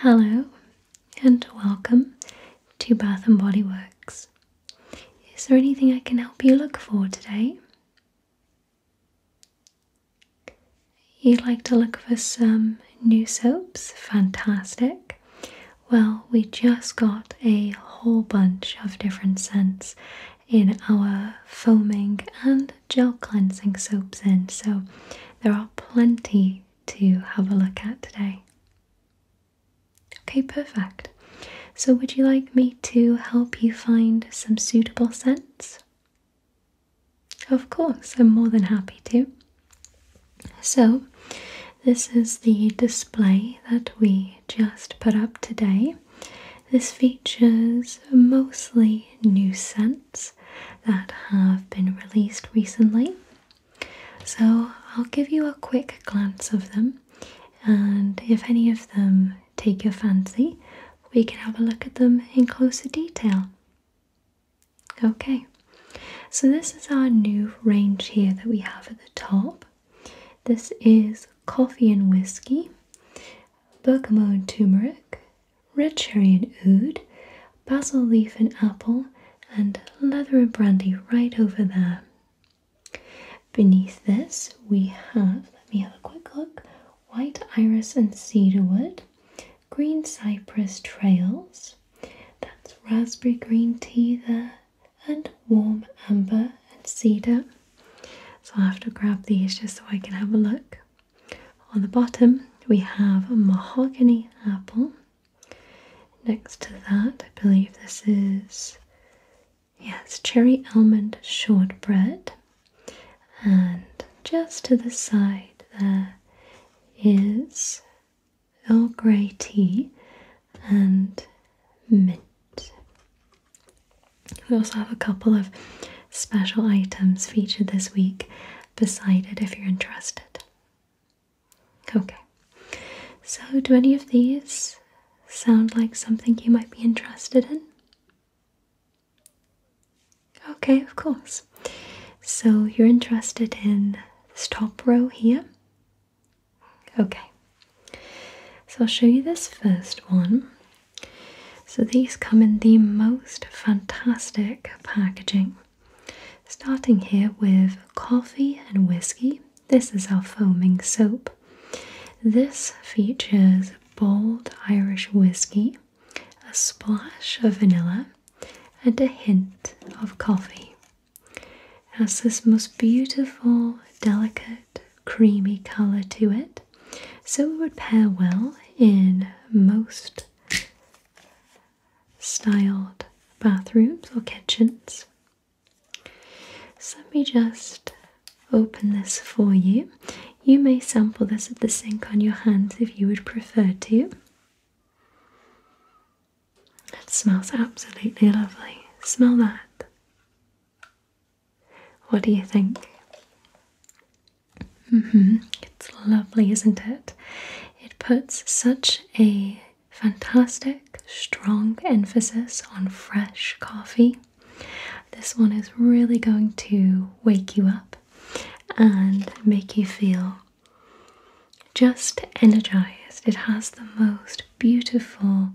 Hello and welcome to Bath and Body Works. Is there anything I can help you look for today? You'd like to look for some new soaps? Fantastic. Well, we just got a whole bunch of different scents in our foaming and gel cleansing soaps in. So there are plenty to have a look at today. Okay, perfect. So, would you like me to help you find some suitable scents? Of course, I'm more than happy to. So, this is the display that we just put up today. This features mostly new scents that have been released recently. So I'll give you a quick glance of them, and if any of them take your fancy, we can have a look at them in closer detail. Okay, so this is our new range here that we have at the top. This is coffee and whiskey, bergamot and turmeric, red cherry and oud, basil leaf and apple, and leather and brandy right over there. Beneath this, we have, let me have a quick look, white iris and cedarwood, green cypress trails, that's raspberry green tea there, and warm amber and cedar. So i have to grab these just so I can have a look. On the bottom, we have a mahogany apple. Next to that, I believe this is, yes, cherry almond shortbread. And just to the side, there is Earl Grey tea and mint. We also have a couple of special items featured this week beside it if you're interested. Okay, so do any of these sound like something you might be interested in? Okay, of course. So you're interested in this top row here? Okay, so I'll show you this first one. So these come in the most fantastic packaging. Starting here with coffee and whiskey. This is our foaming soap. This features bold Irish whiskey, a splash of vanilla, and a hint of coffee. It has this most beautiful, delicate, creamy colour to it, so it would pair well in most styled bathrooms or kitchens. So let me just open this for you. You may sample this at the sink on your hands if you would prefer to. It smells absolutely lovely. Smell that. What do you think? Mm-hmm. It's lovely, isn't it? It puts such a fantastic, strong emphasis on fresh coffee. This one is really going to wake you up and make you feel just energized. It has the most beautiful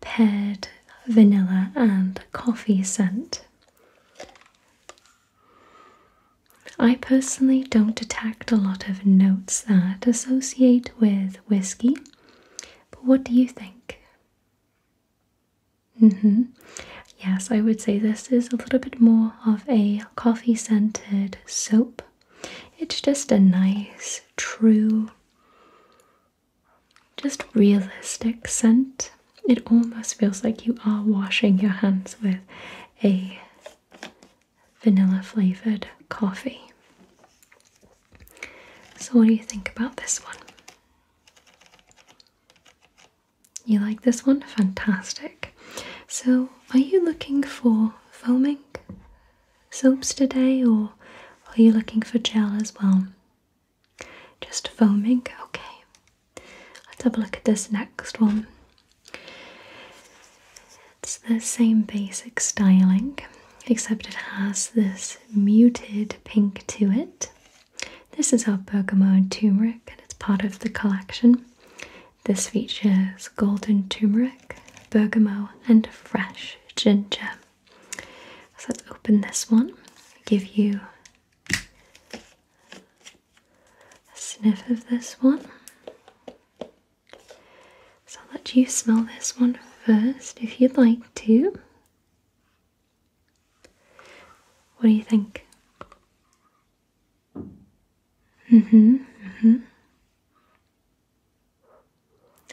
paired vanilla and coffee scent. I personally don't detect a lot of notes that associate with whiskey, but what do you think? Mm hmm. Yes, I would say this is a little bit more of a coffee scented soap. It's just a nice, true, just realistic scent. It almost feels like you are washing your hands with a vanilla flavored coffee. So, what do you think about this one? You like this one? Fantastic. So, are you looking for foaming soaps today or are you looking for gel as well? Just foaming? Okay. Let's have a look at this next one. It's the same basic styling, except it has this muted pink to it. This is our bergamot turmeric, and it's part of the collection. This features golden turmeric, bergamot, and fresh ginger. So let's open this one, give you a sniff of this one. So I'll let you smell this one first if you'd like to. What do you think? Mm-hmm. Mm-hmm.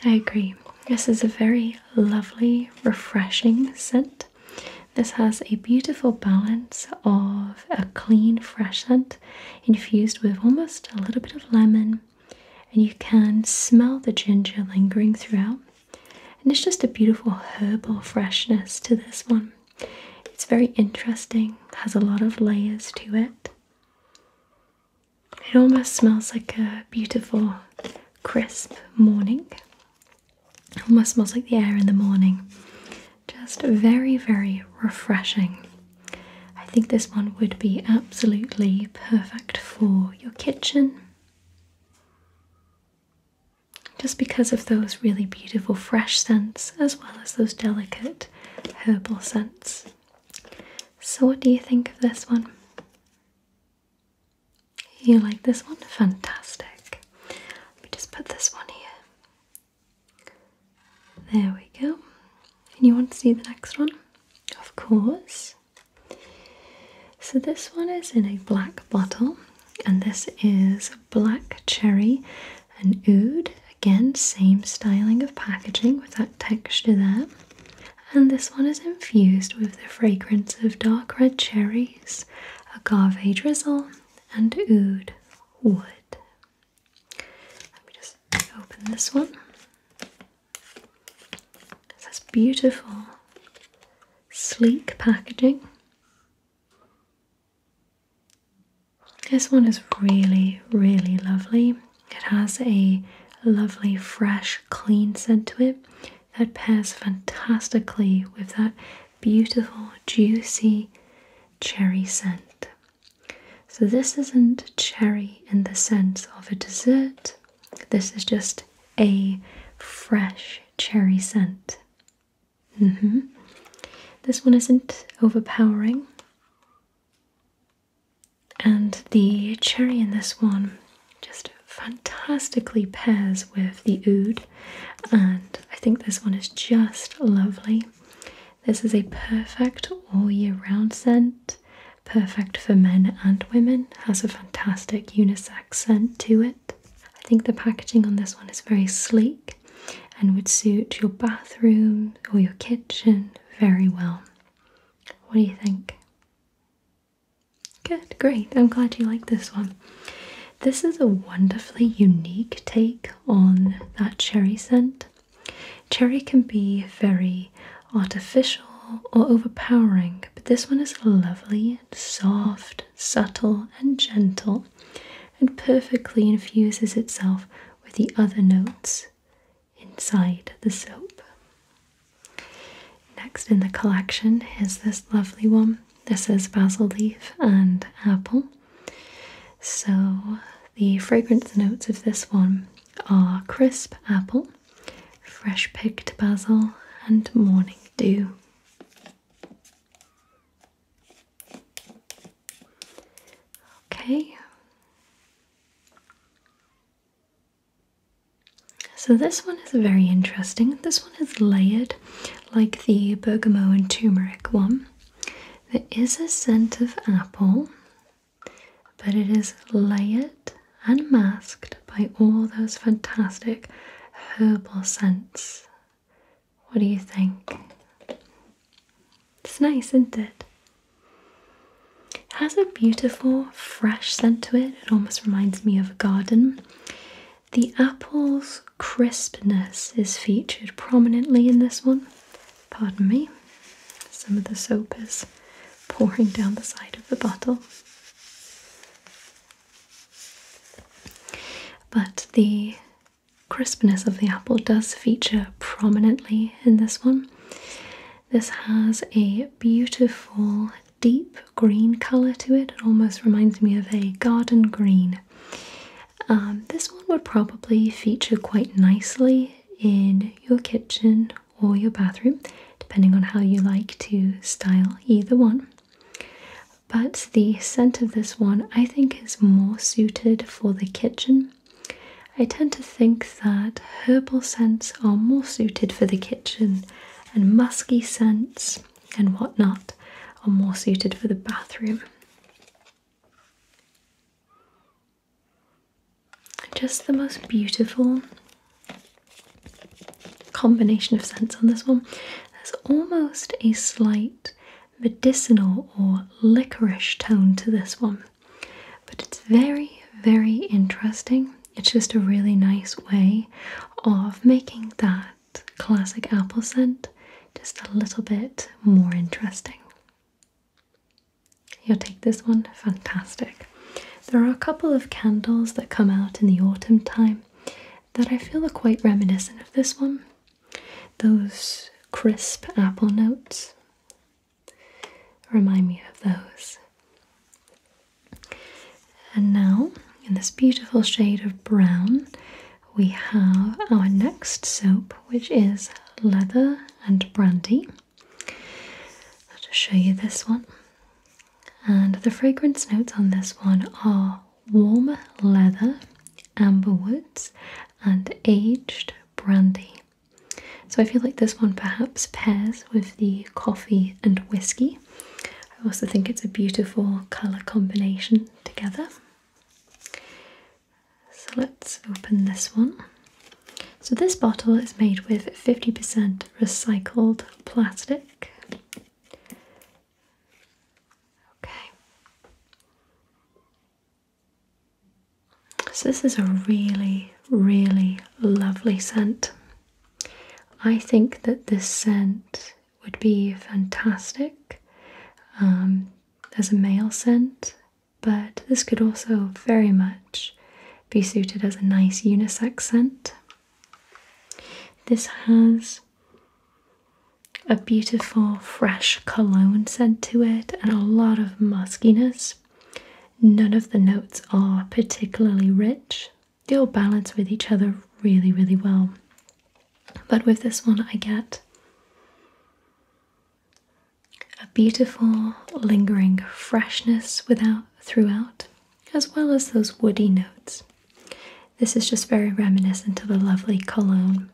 I agree. This is a very lovely, refreshing scent. This has a beautiful balance of a clean fresh scent infused with almost a little bit of lemon, and you can smell the ginger lingering throughout. And it's just a beautiful herbal freshness to this one. It's very interesting, has a lot of layers to it. It almost smells like a beautiful, crisp morning almost smells like the air in the morning. Just very, very refreshing. I think this one would be absolutely perfect for your kitchen. Just because of those really beautiful fresh scents as well as those delicate herbal scents. So, what do you think of this one? You like this one? Fantastic just put this one here. There we go. And you want to see the next one? Of course. So this one is in a black bottle, and this is black cherry and oud. Again, same styling of packaging with that texture there. And this one is infused with the fragrance of dark red cherries, agave drizzle, and oud wood. Let me just open this one. This has beautiful, sleek packaging. This one is really, really lovely. It has a lovely, fresh, clean scent to it that pairs fantastically with that beautiful, juicy cherry scent. So, this isn't cherry in the sense of a dessert, this is just a fresh cherry scent. Mm-hmm. This one isn't overpowering. And the cherry in this one just fantastically pairs with the oud and I think this one is just lovely. This is a perfect all year round scent, perfect for men and women, has a fantastic unisex scent to it. I think the packaging on this one is very sleek and would suit your bathroom or your kitchen very well. What do you think? Good, great. I'm glad you like this one. This is a wonderfully unique take on that cherry scent. Cherry can be very artificial or overpowering, but this one is lovely soft, subtle, and gentle, and perfectly infuses itself with the other notes inside the soap. Next in the collection is this lovely one. This is basil leaf and apple. So, the fragrance notes of this one are crisp apple, fresh picked basil, and morning dew. Okay. So, this one is very interesting. This one is layered like the bergamot and turmeric one. There is a scent of apple, but it is layered and masked by all those fantastic herbal scents. What do you think? It's nice, isn't it? It has a beautiful, fresh scent to it. It almost reminds me of a garden. The apple's crispness is featured prominently in this one. Pardon me, some of the soap is pouring down the side of the bottle. But the crispness of the apple does feature prominently in this one. This has a beautiful, deep green colour to it. It almost reminds me of a garden green. Um, this one would probably feature quite nicely in your kitchen or your bathroom, depending on how you like to style either one. But the scent of this one I think is more suited for the kitchen. I tend to think that herbal scents are more suited for the kitchen and musky scents and whatnot are more suited for the bathroom. Just the most beautiful combination of scents on this one. There's almost a slight medicinal or licorice tone to this one, but it's very, very interesting. It's just a really nice way of making that classic apple scent just a little bit more interesting. You'll take this one, fantastic. There are a couple of candles that come out in the autumn time that I feel are quite reminiscent of this one. Those crisp apple notes remind me of those. And now, in this beautiful shade of brown, we have our next soap, which is Leather and Brandy. I'll just show you this one. And the fragrance notes on this one are warm leather, amber woods, and aged brandy. So I feel like this one perhaps pairs with the coffee and whiskey I also think it's a beautiful colour combination together. So let's open this one. So this bottle is made with 50% recycled plastic. Okay. So this is a really, really lovely scent. I think that this scent would be fantastic um, as a male scent, but this could also very much be suited as a nice unisex scent. This has a beautiful fresh cologne scent to it and a lot of muskiness. None of the notes are particularly rich, they all balance with each other really, really well. But with this one, I get a beautiful, lingering freshness without, throughout, as well as those woody notes. This is just very reminiscent of a lovely cologne.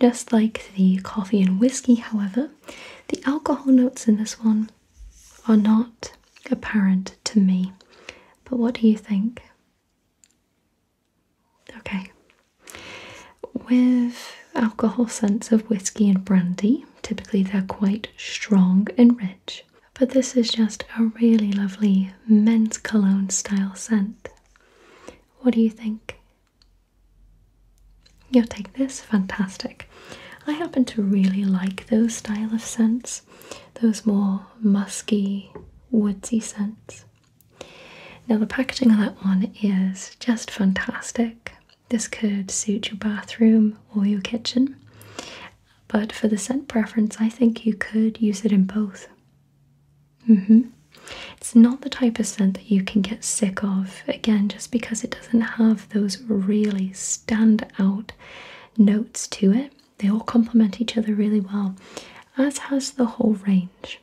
Just like the coffee and whiskey, however, the alcohol notes in this one are not apparent to me. But what do you think? Okay. With alcohol scents of whiskey and brandy, typically they're quite strong and rich, but this is just a really lovely men's cologne style scent. What do you think? You'll take this? Fantastic. I happen to really like those style of scents those more musky, woodsy scents. Now, the packaging on that one is just fantastic. This could suit your bathroom or your kitchen, but for the scent preference, I think you could use it in both. Mm-hmm. It's not the type of scent that you can get sick of, again, just because it doesn't have those really stand out notes to it. They all complement each other really well, as has the whole range.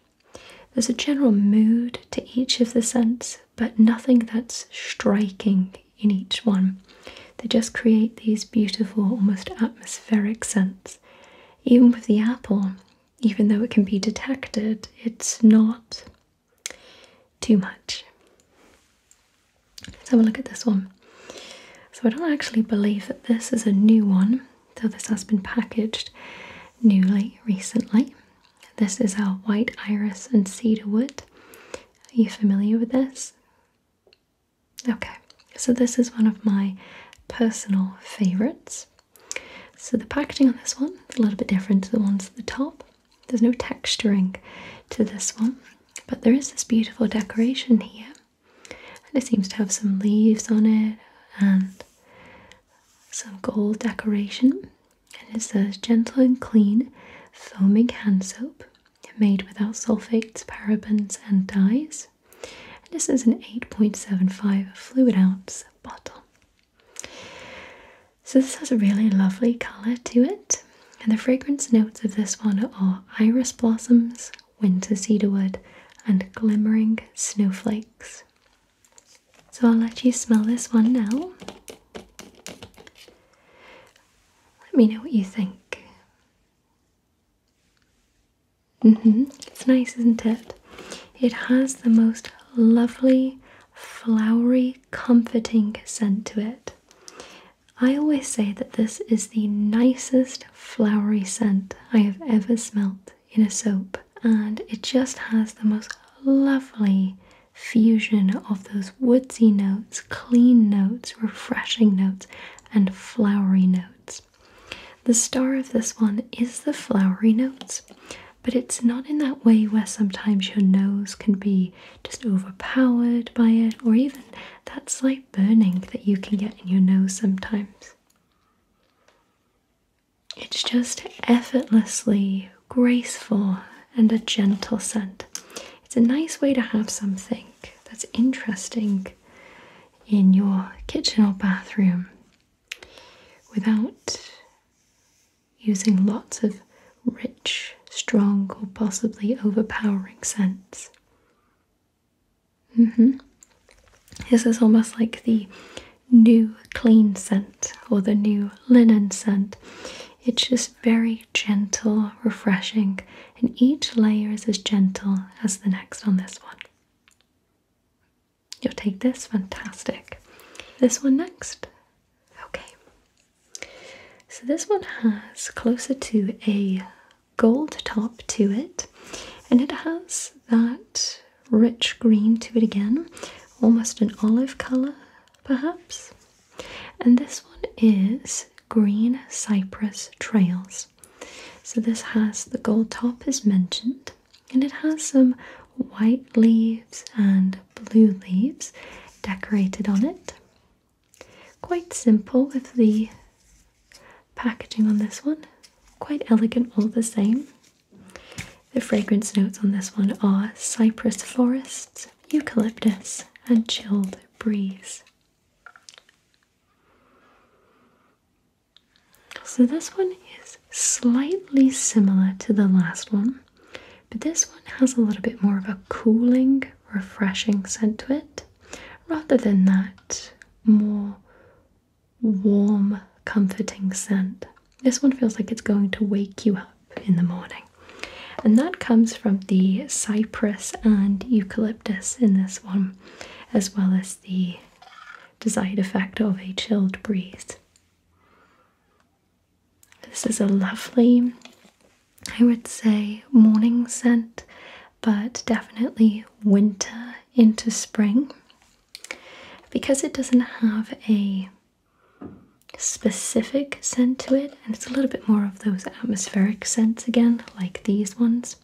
There's a general mood to each of the scents, but nothing that's striking in each one. They just create these beautiful, almost atmospheric scents. Even with the apple, even though it can be detected, it's not too much. Let's have a look at this one. So I don't actually believe that this is a new one, though this has been packaged newly recently. This is our white iris and cedar wood. Are you familiar with this? Okay, so this is one of my personal favourites. So the packaging on this one is a little bit different to the ones at the top. There's no texturing to this one, but there is this beautiful decoration here and it seems to have some leaves on it and some gold decoration and it says gentle and clean foaming hand soap made without sulfates parabens and dyes this is an 8.75 fluid ounce bottle so this has a really lovely color to it and the fragrance notes of this one are iris blossoms winter cedarwood, and glimmering snowflakes. So I'll let you smell this one now. Let me know what you think. hmm It's nice, isn't it? It has the most lovely, flowery, comforting scent to it. I always say that this is the nicest flowery scent I have ever smelt in a soap, and it just has the most lovely fusion of those woodsy notes, clean notes, refreshing notes, and flowery notes. The star of this one is the flowery notes, but it's not in that way where sometimes your nose can be just overpowered by it or even that slight burning that you can get in your nose sometimes. It's just effortlessly graceful and a gentle scent. It's a nice way to have something that's interesting in your kitchen or bathroom without using lots of rich, strong, or possibly overpowering scents. Mm hmm. This is almost like the new clean scent or the new linen scent. It's just very gentle, refreshing, and each layer is as gentle as the next on this one. You'll take this, fantastic. This one next. Okay. So this one has closer to a gold top to it, and it has that rich green to it again, almost an olive color perhaps. And this one is Green Cypress Trails. So this has the gold top as mentioned, and it has some white leaves and blue leaves decorated on it. Quite simple with the packaging on this one, quite elegant all the same. The fragrance notes on this one are cypress forest, eucalyptus, and chilled breeze. So, this one is slightly similar to the last one, but this one has a little bit more of a cooling, refreshing scent to it rather than that more warm, comforting scent. This one feels like it's going to wake you up in the morning. And that comes from the cypress and eucalyptus in this one, as well as the desired effect of a chilled breeze. This is a lovely I would say morning scent, but definitely winter into spring because it doesn't have a specific scent to it and it's a little bit more of those atmospheric scents again like these ones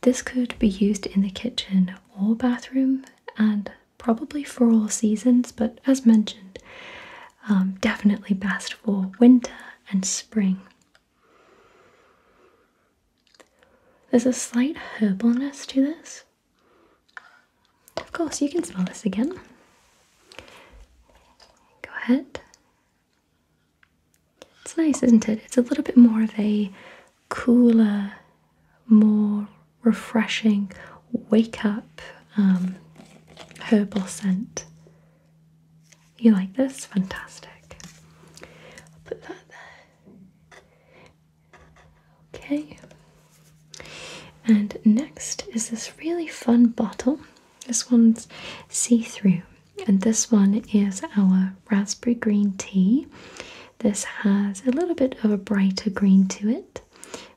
this could be used in the kitchen or bathroom and probably for all seasons but as mentioned um, definitely best for winter and spring there's a slight herbalness to this. Of course, you can smell this again. Go ahead. It's nice, isn't it? It's a little bit more of a cooler, more refreshing wake up um, herbal scent. You like this? Fantastic. I'll put that there. Okay. And next is this really fun bottle. This one's see through, and this one is our raspberry green tea. This has a little bit of a brighter green to it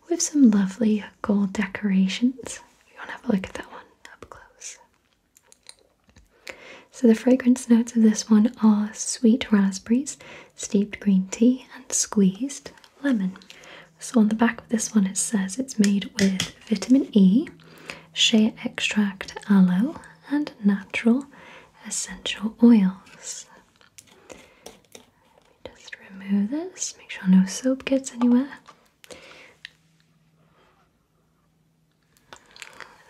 with some lovely gold decorations. You want to have a look at that one up close. So, the fragrance notes of this one are sweet raspberries, steeped green tea, and squeezed lemon. So, on the back of this one, it says it's made with vitamin E, shea extract, aloe, and natural essential oils. Let me just remove this, make sure no soap gets anywhere.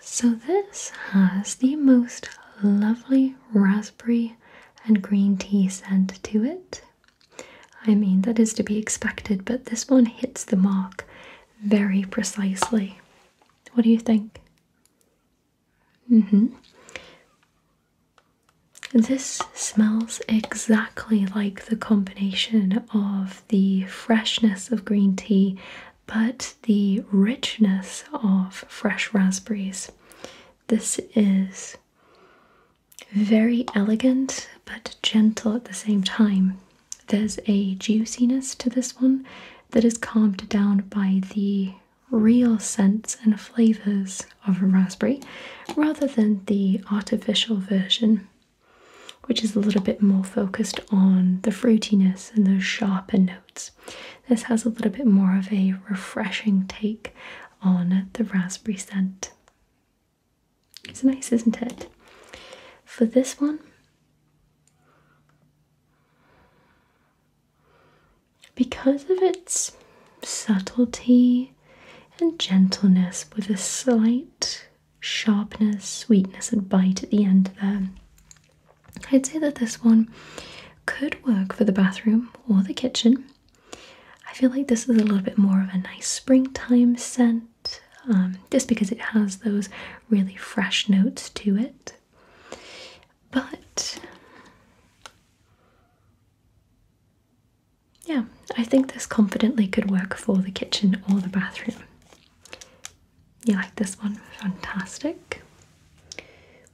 So, this has the most lovely raspberry and green tea scent to it. I mean, that is to be expected, but this one hits the mark very precisely. What do you think? Mm hmm. This smells exactly like the combination of the freshness of green tea but the richness of fresh raspberries. This is very elegant but gentle at the same time. There's a juiciness to this one that is calmed down by the real scents and flavours of a raspberry rather than the artificial version which is a little bit more focused on the fruitiness and those sharper notes. This has a little bit more of a refreshing take on the raspberry scent. It's nice, isn't it? For this one, because of its subtlety and gentleness with a slight sharpness, sweetness, and bite at the end there. I'd say that this one could work for the bathroom or the kitchen. I feel like this is a little bit more of a nice springtime scent, um, just because it has those really fresh notes to it. But yeah, I think this confidently could work for the kitchen or the bathroom. You like this one? Fantastic.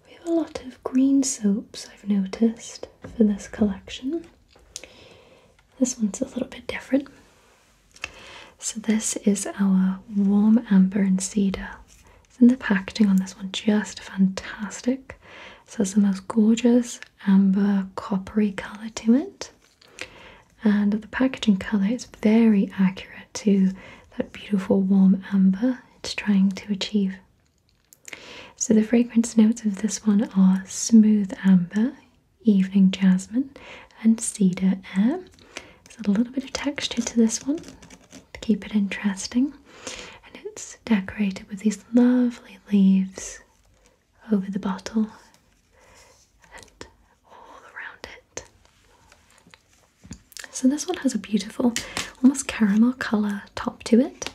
We have a lot of green soaps, I've noticed, for this collection. This one's a little bit different. So, this is our warm amber and cedar. Isn't the packaging on this one just fantastic? So, it's the most gorgeous amber coppery colour to it. And the packaging colour is very accurate to that beautiful warm amber it's trying to achieve. So, the fragrance notes of this one are smooth amber, evening jasmine, and cedar air. There's a little bit of texture to this one to keep it interesting, and it's decorated with these lovely leaves over the bottle and all around it. So this one has a beautiful, almost caramel colour top to it.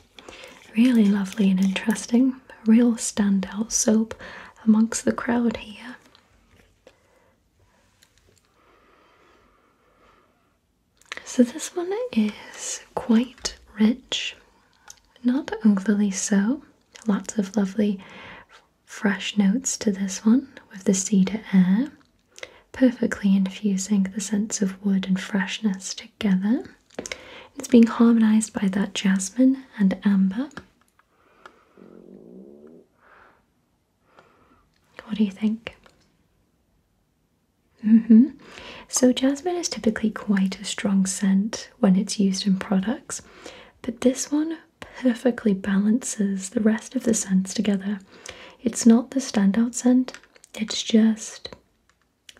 Really lovely and interesting. real standout soap amongst the crowd here. So this one is quite rich, not overly so. Lots of lovely fresh notes to this one with the cedar air, perfectly infusing the sense of wood and freshness together. It's being harmonized by that jasmine and amber. What do you think? Mm-hmm. So jasmine is typically quite a strong scent when it's used in products, but this one perfectly balances the rest of the scents together. It's not the standout scent, it's just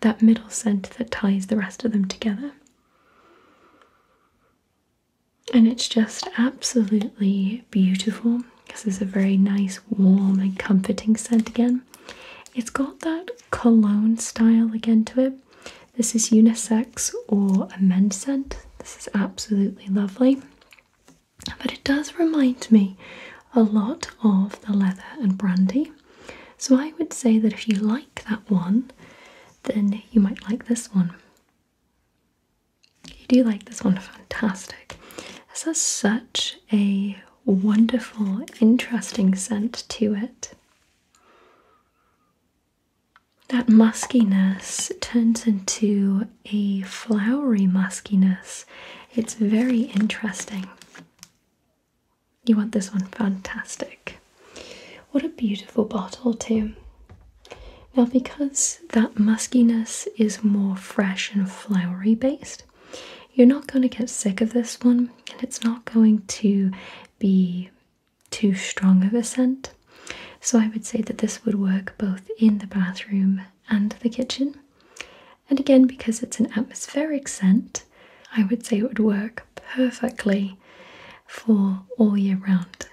that middle scent that ties the rest of them together. And it's just absolutely beautiful because it's a very nice, warm, and comforting scent again. It's got that cologne style again to it, this is unisex or a men scent. This is absolutely lovely. But it does remind me a lot of the leather and brandy. So I would say that if you like that one, then you might like this one. You do like this one, fantastic. This has such a wonderful, interesting scent to it that muskiness turns into a flowery muskiness. It's very interesting. You want this one? Fantastic. What a beautiful bottle, too. Now, because that muskiness is more fresh and flowery based, you're not going to get sick of this one and it's not going to be too strong of a scent. So I would say that this would work both in the bathroom and the kitchen. And again, because it's an atmospheric scent, I would say it would work perfectly for all year round.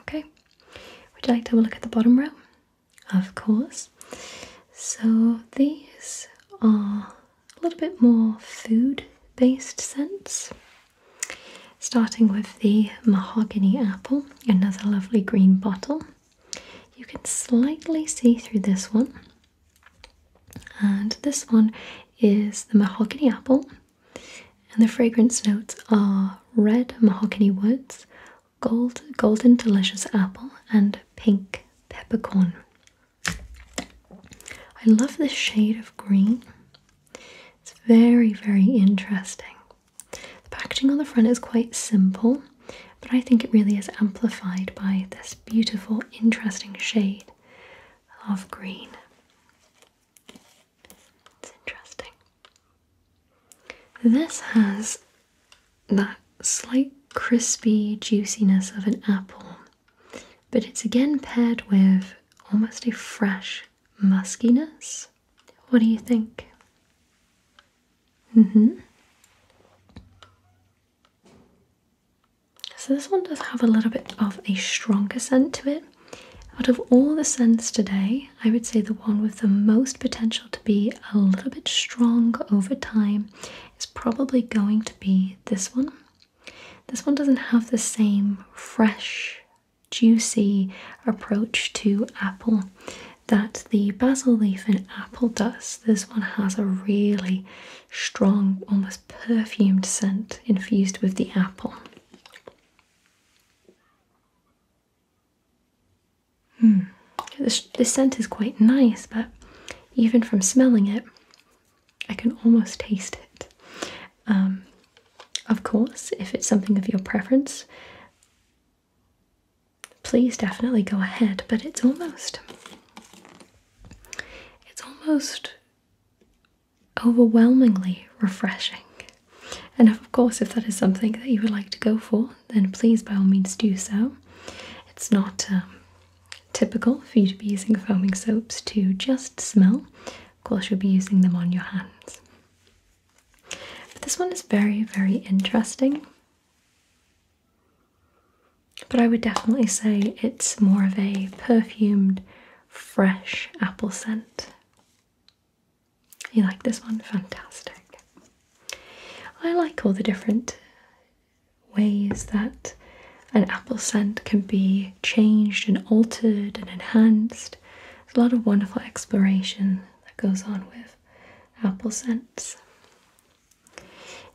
Okay, would you like to have a look at the bottom row? Of course. So these are a little bit more food based scents. Starting with the mahogany apple, another lovely green bottle. You can slightly see through this one, and this one is the mahogany apple, and the fragrance notes are red mahogany woods, gold golden delicious apple, and pink peppercorn. I love this shade of green. It's very, very interesting. The packaging on the front is quite simple, but I think it really is amplified by this beautiful, interesting shade of green. It's interesting. This has that slight crispy juiciness of an apple but it's again paired with almost a fresh muskiness. What do you think? Mm-hmm. So this one does have a little bit of a stronger scent to it. Out of all the scents today, I would say the one with the most potential to be a little bit strong over time is probably going to be this one. This one doesn't have the same fresh, juicy approach to apple that the basil leaf and apple does. This one has a really strong, almost perfumed scent infused with the apple. Hmm. this scent is quite nice, but even from smelling it, I can almost taste it. Um, of course, if it's something of your preference, please definitely go ahead. But it's almost, it's almost overwhelmingly refreshing. And of course, if that is something that you would like to go for, then please by all means do so. It's not um, typical for you to be using foaming soaps to just smell. Of course, you'll be using them on your hands. this one is very, very interesting. But I would definitely say it's more of a perfumed, fresh apple scent. You like this one? Fantastic. I like all the different ways that an apple scent can be changed and altered and enhanced. There's a lot of wonderful exploration that goes on with apple scents.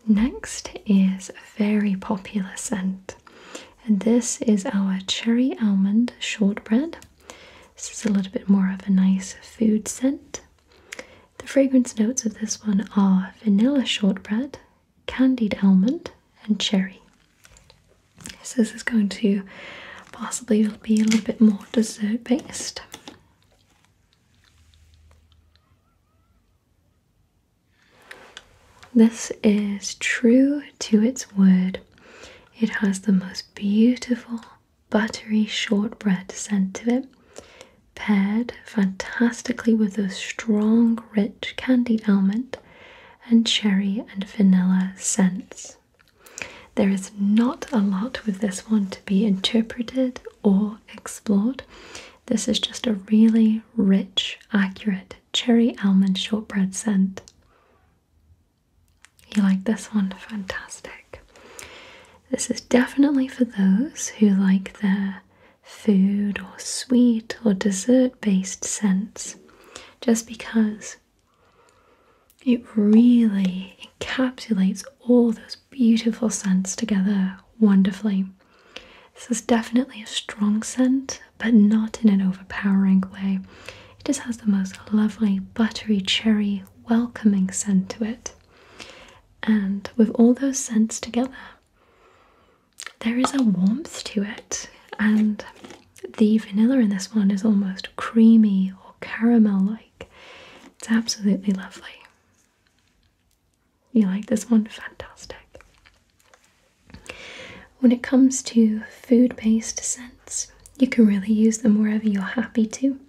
Next is a very popular scent, and this is our cherry almond shortbread. This is a little bit more of a nice food scent. The fragrance notes of this one are vanilla shortbread, candied almond and cherry. this is going to possibly be a little bit more dessert based. This is true to its word. It has the most beautiful buttery shortbread scent to it, paired fantastically with a strong, rich peach, candied almond, and cherry and vanilla scents. There is not a lot with this one to be interpreted or explored. This is just a really rich, accurate cherry almond shortbread scent. You like this one? Fantastic. This is definitely for those who like their food or sweet or dessert based scents just because it really encapsulates all those beautiful scents together wonderfully. This is definitely a strong scent, but not in an overpowering way. It just has the most lovely, buttery, cherry, welcoming scent to it. And with all those scents together, there is a warmth to it, and the vanilla in this one is almost creamy or caramel like. It's absolutely lovely. You like this one? Fantastic. When it comes to food based scents, you can really use them wherever you're happy to,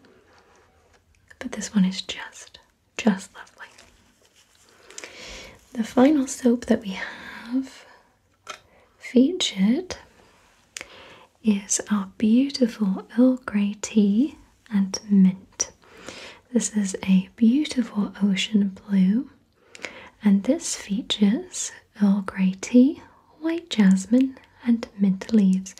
but this one is just just lovely. The final soap that we have featured is our beautiful Earl Grey tea and mint. This is a beautiful ocean blue, and this features Earl Grey tea, white jasmine, and mint leaves.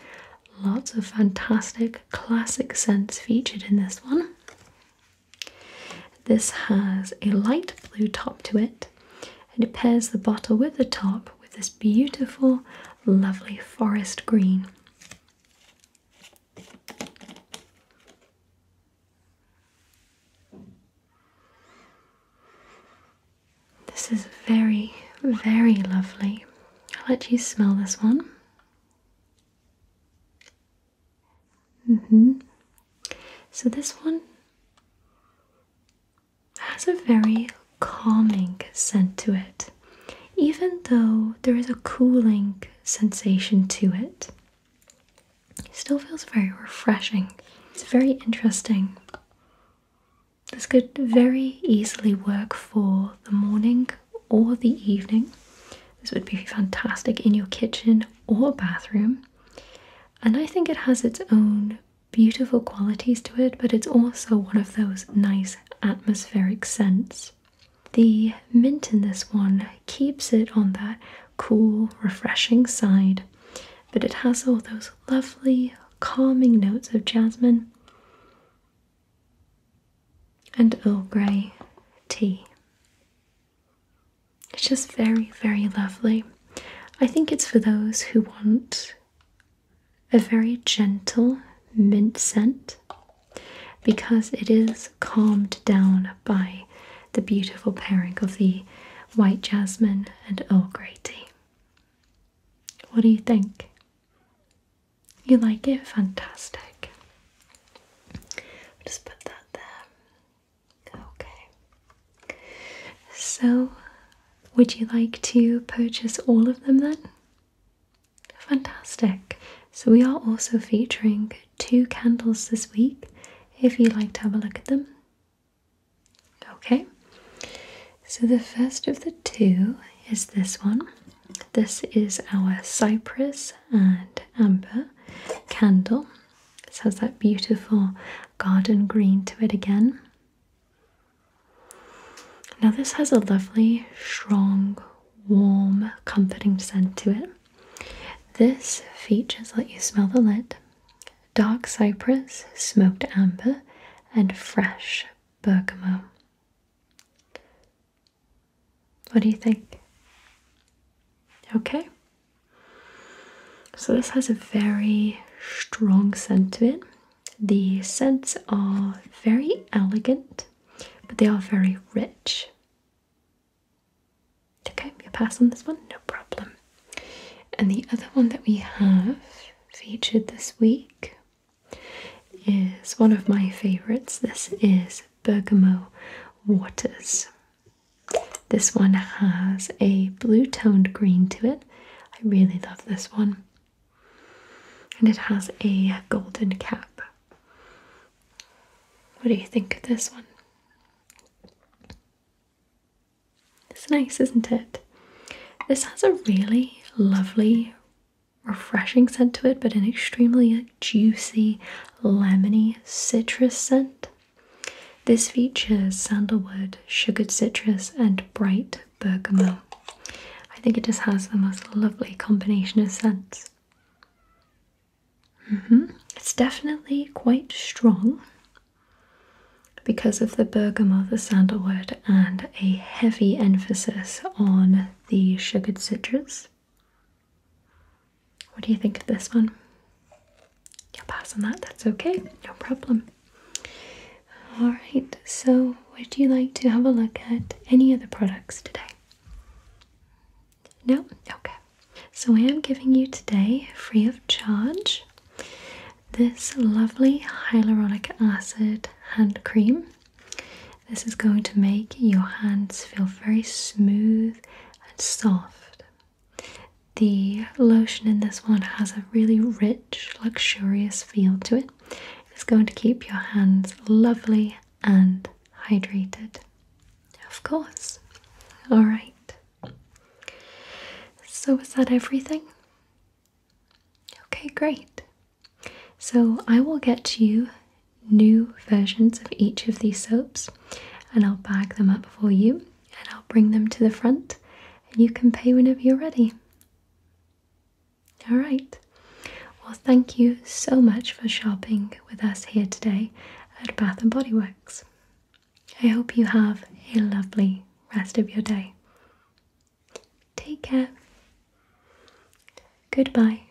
Lots of fantastic classic scents featured in this one. This has a light blue top to it and it pairs the bottle with the top with this beautiful, lovely forest green. This is very, very lovely. I'll let you smell this one hmm So this one has a very calming scent to it, even though there is a cooling sensation to It still feels very refreshing. It's very interesting. This could very easily work for the morning or the evening. This would be fantastic in your kitchen or bathroom. And I think it has its own beautiful qualities to it, but it's also one of those nice atmospheric scents. The mint in this one keeps it on that cool, refreshing side, but it has all those lovely, calming notes of jasmine and Earl Grey tea. It's just very, very lovely. I think it's for those who want a very gentle mint scent because it is calmed down by the beautiful pairing of the white jasmine and Earl Grey tea. What do you think? You like it? Fantastic just put that there. Okay. So, would you like to purchase all of them then? Fantastic. So, we are also featuring two candles this week if you'd like to have a look at them. Okay. So, the first of the two is this one. This is our cypress and amber candle. This has that beautiful garden green to it again. Now, this has a lovely, strong, warm, comforting scent to it. This features let you smell the lid dark cypress, smoked amber, and fresh bergamot. What do you think? Okay. So this has a very strong scent to it. The scents are very elegant, but they are very rich. Okay, you pass on this one, no problem. And the other one that we have featured this week is one of my favorites. This is Bergamo Waters. This one has a blue toned green to it. I really love this one. And it has a golden cap. What do you think of this one? It's nice, isn't it? This has a really lovely, refreshing scent to it, but an extremely juicy, lemony citrus scent. This features sandalwood, sugared citrus, and bright bergamot. I think it just has the most lovely combination of scents. Mm-hmm. It's definitely quite strong because of the bergamot, the sandalwood, and a heavy emphasis on the sugared citrus. What do you think of this one? You'll pass on that, that's okay, no problem. Alright, so would you like to have a look at any other products today? No? Okay. So I am giving you today, free of charge, this lovely hyaluronic acid hand cream. This is going to make your hands feel very smooth and soft. The lotion in this one has a really rich, luxurious feel to it. It's going to keep your hands lovely and hydrated. Of course. All right. So, is that everything? Okay, great. So, I will get you new versions of each of these soaps and I'll bag them up for you and I'll bring them to the front and you can pay whenever you're ready. All right. Well, thank you so much for shopping with us here today at Bath and Body Works. I hope you have a lovely rest of your day. Take care. Goodbye.